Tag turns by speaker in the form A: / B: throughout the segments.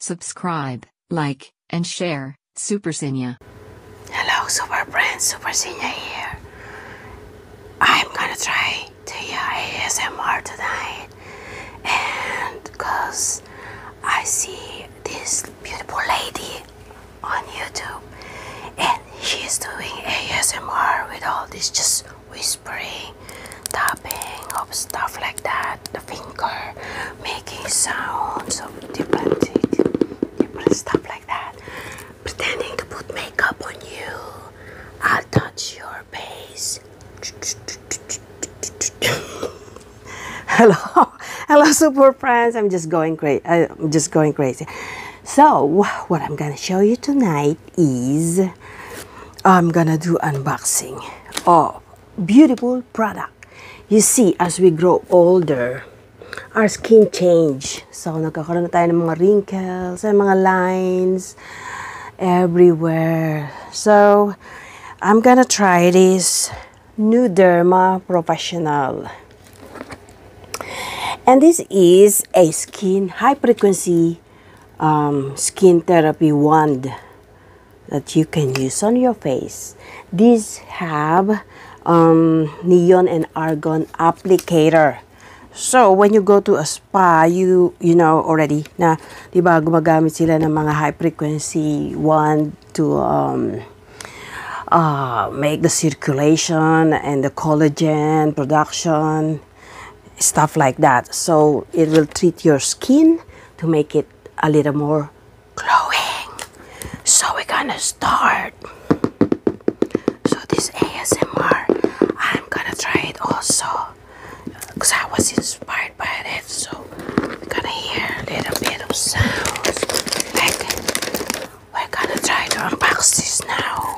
A: Subscribe, like, and share, Supersinya. Hello, Super Friends, Super Senior here. I'm gonna try to hear ASMR tonight, and because I see this beautiful lady on YouTube, and she's doing ASMR with all this just whispering, tapping of stuff like that, the finger making sounds of different, different stuff like that pretending to put makeup on you. I'll touch your face.
B: hello, hello, super friends. I'm just going crazy. I'm just going crazy. So, what I'm gonna show you tonight is I'm gonna do unboxing of beautiful product. You see, as we grow older, our skin change. So, nagkakaroon na mga wrinkles mga lines everywhere. So, I'm gonna try this New Derma Professional. And this is a skin high frequency um, skin therapy wand that you can use on your face. These have um, neon and argon applicator. So, when you go to a spa, you, you know already Now, di ba, gumagamit sila ng mga high frequency wand to um, uh, make the circulation and the collagen production, stuff like that. So, it will treat your skin to make it a little more
A: glowing. So, we're gonna start so this ASMR I'm gonna try it also because I was inspired by it so we're gonna hear a little bit of sounds like we're gonna try to unbox this now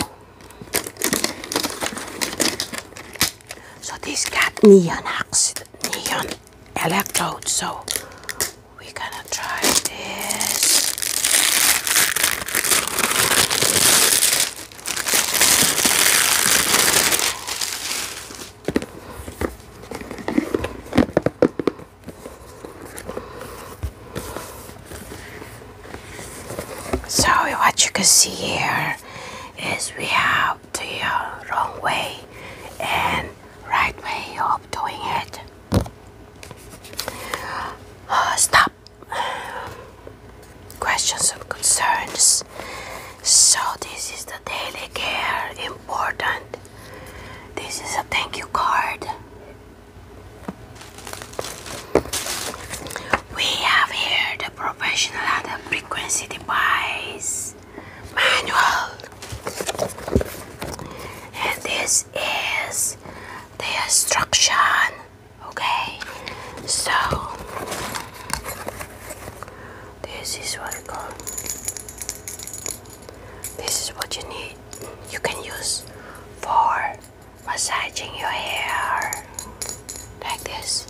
A: so this got neon oxide neon electrode so we're gonna try so what you can see here is we have the uh, wrong way and right way of doing it. Uh, stop questions and concerns. So, this is the daily care important. This is a thank you card. We have here the professional and the frequency device manual, and this is the instruction Okay, so this is what it called. This is what you need. You can use for massaging your hair like this.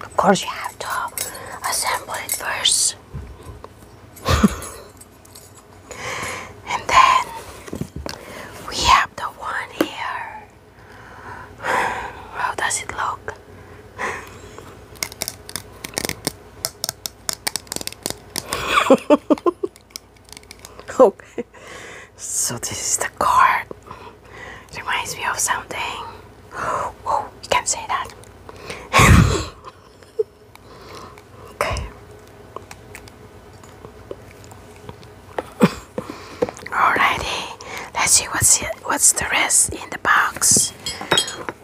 A: Of course, you have to assemble it first. And then we have the one here. How does it look? okay. So this is the card. Reminds me of something. you can say that. Okay. Alrighty, let's see what's what's the rest in the box.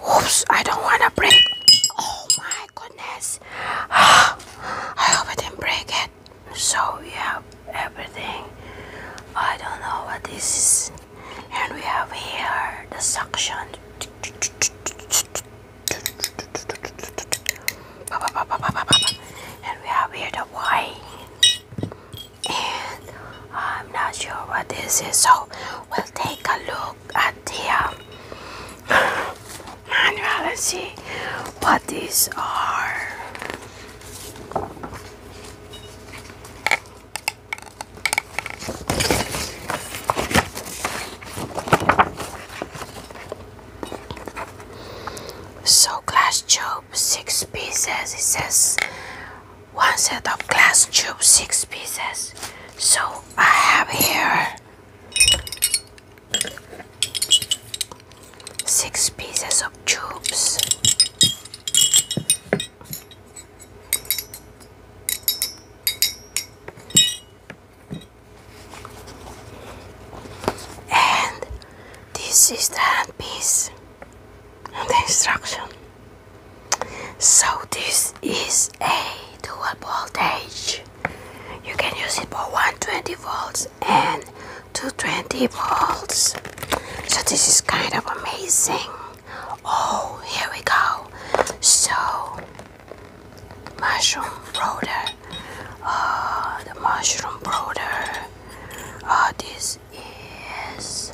A: Oops, I don't want to break. Oh my goodness. I hope I didn't break it. So we have everything. I don't know what this is. And we have here the suction and we have here the wine. And I'm not sure what this is, so we'll take a look at the um, manual and see what these are. So glass tube, six pieces. It says one set of glass tube, six pieces. So I have here six pieces of tubes. And this is the handpiece and the instruction. So this is a dual voltage. You can use it for 120 volts and 220 volts. So this is kind of amazing. Oh, here we go. So mushroom powder uh, the mushroom powder uh, this is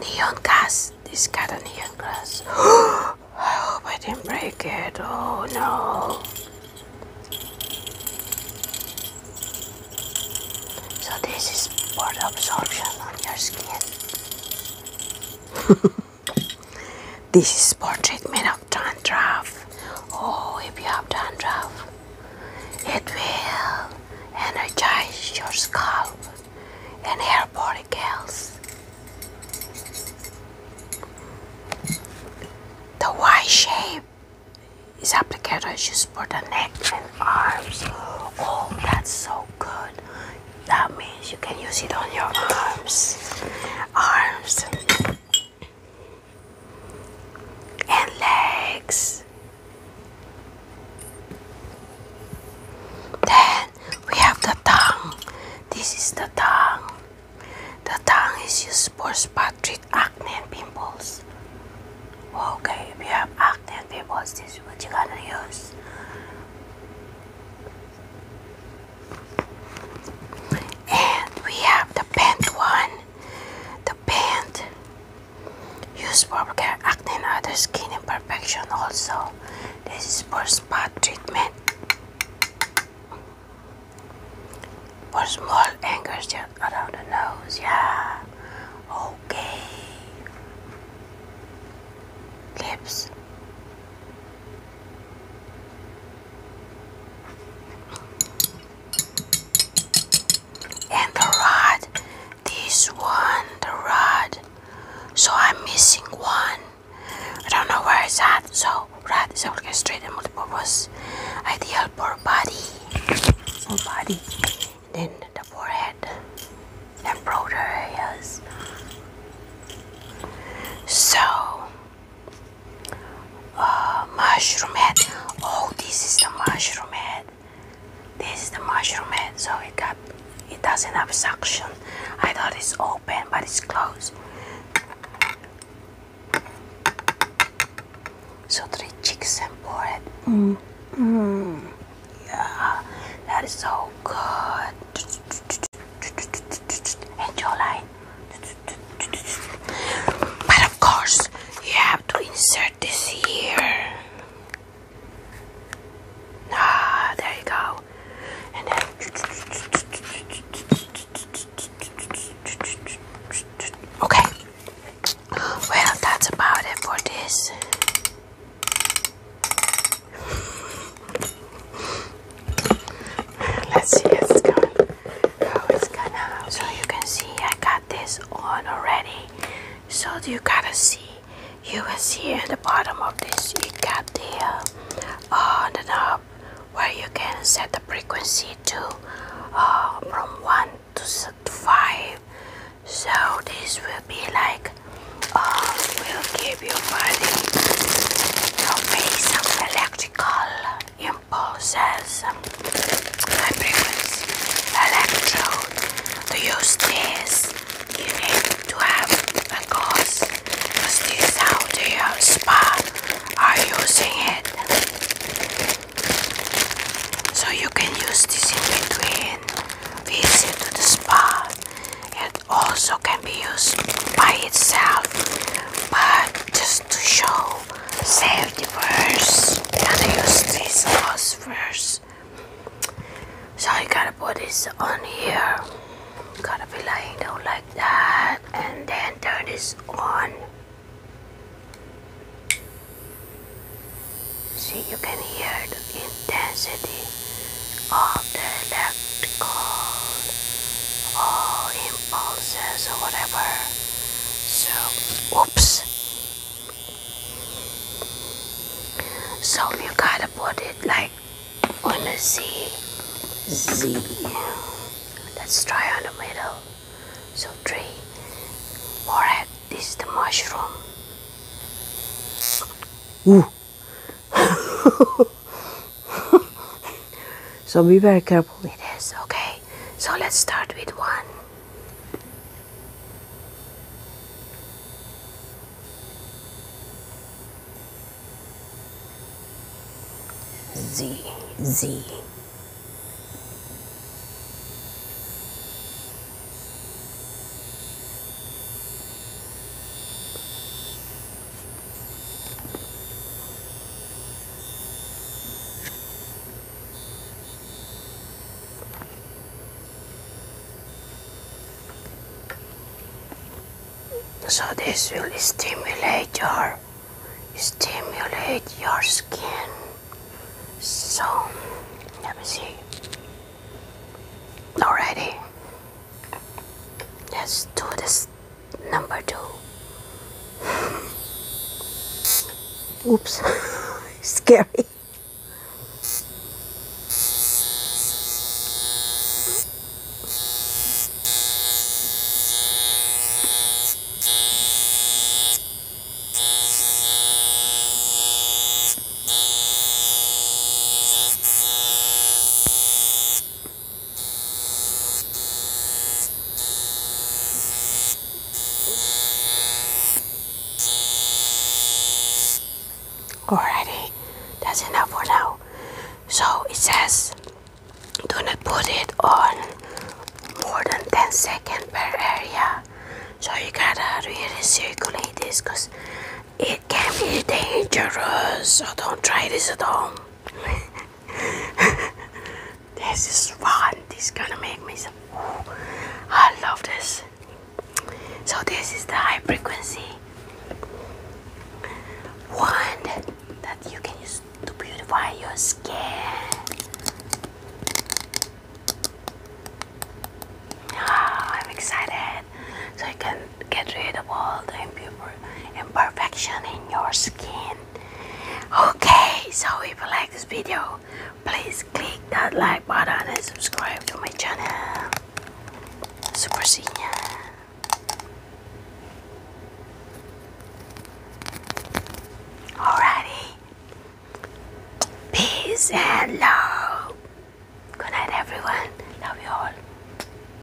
A: neon gas this got a neon glass I hope I didn't break it oh no so this is for the absorption on your skin This is portrait made of dandruff. Oh, if you have dandruff, it will energize your scalp and hair follicles. The Y shape is applicator is just for the neck and arms. Oh, that's so good. That means you can use it on your arms, arms, and legs. Then we have the tongue. This is the tongue. The tongue is used for spot treat acne and pimples. Okay, if you have acne and pimples, this is what you're gonna use. And we have the bent one. The bent used for acne and other skin imperfection also. This is for spot treatment. For small angles just around the nose, yeah. Okay. Lips. And the rod, this one, the rod. So I'm missing one. I don't know where it's at. So rod is orchestrated multi-purpose, ideal for body, body, then the forehead and broader areas. So, uh, mushroom head. Oh, this is the mushroom head. This is the mushroom head. So it got, it doesn't have suction. I thought it's open, but it's closed. So three chicks and forehead.
B: Mmm.
A: Yeah, that is so good and your line. But of course, you have to insert this here. Ah, there you go. And then okay. Well, that's about it for this. Let's see how it's going. to So you can see I got this on already. So you gotta see. You will see at the bottom of this. You got the uh, on the knob where you can set the frequency to uh, from one to five. So this will be like uh, leave your body to face some electrical impulses and this Electrode. To use this, you need to have a course because this is how the spa are using it. So you can use this in between visit to the spa also can be used by itself but just to show safety first gonna use this sauce so you gotta put this on here gotta be laying down like that and then turn this on see you can hear the intensity of electrical or impulses or whatever. So, oops. So you gotta put it like on the Z. Z. Let's try on the middle. So three. Forehead. This is the mushroom.
B: Ooh. so be very careful with this,
A: okay? So let's start with one. Z, Z. So this will stimulate your stimulate your skin. So let me see. Already. Let's do this number two
B: oops scary
A: Alrighty, that's enough for now. So it says, do not put it on more than 10 seconds per area. So you gotta really circulate this because it can be dangerous. So don't try this at home. this is fun. This is gonna make me some. I love this. So this is the high frequency wand that you can use to beautify your skin. Ah, I'm excited. So you can get rid of all the imperfection in your skin okay so if you like this video please click that like button and subscribe to my channel super senior alrighty peace and love good night everyone love you all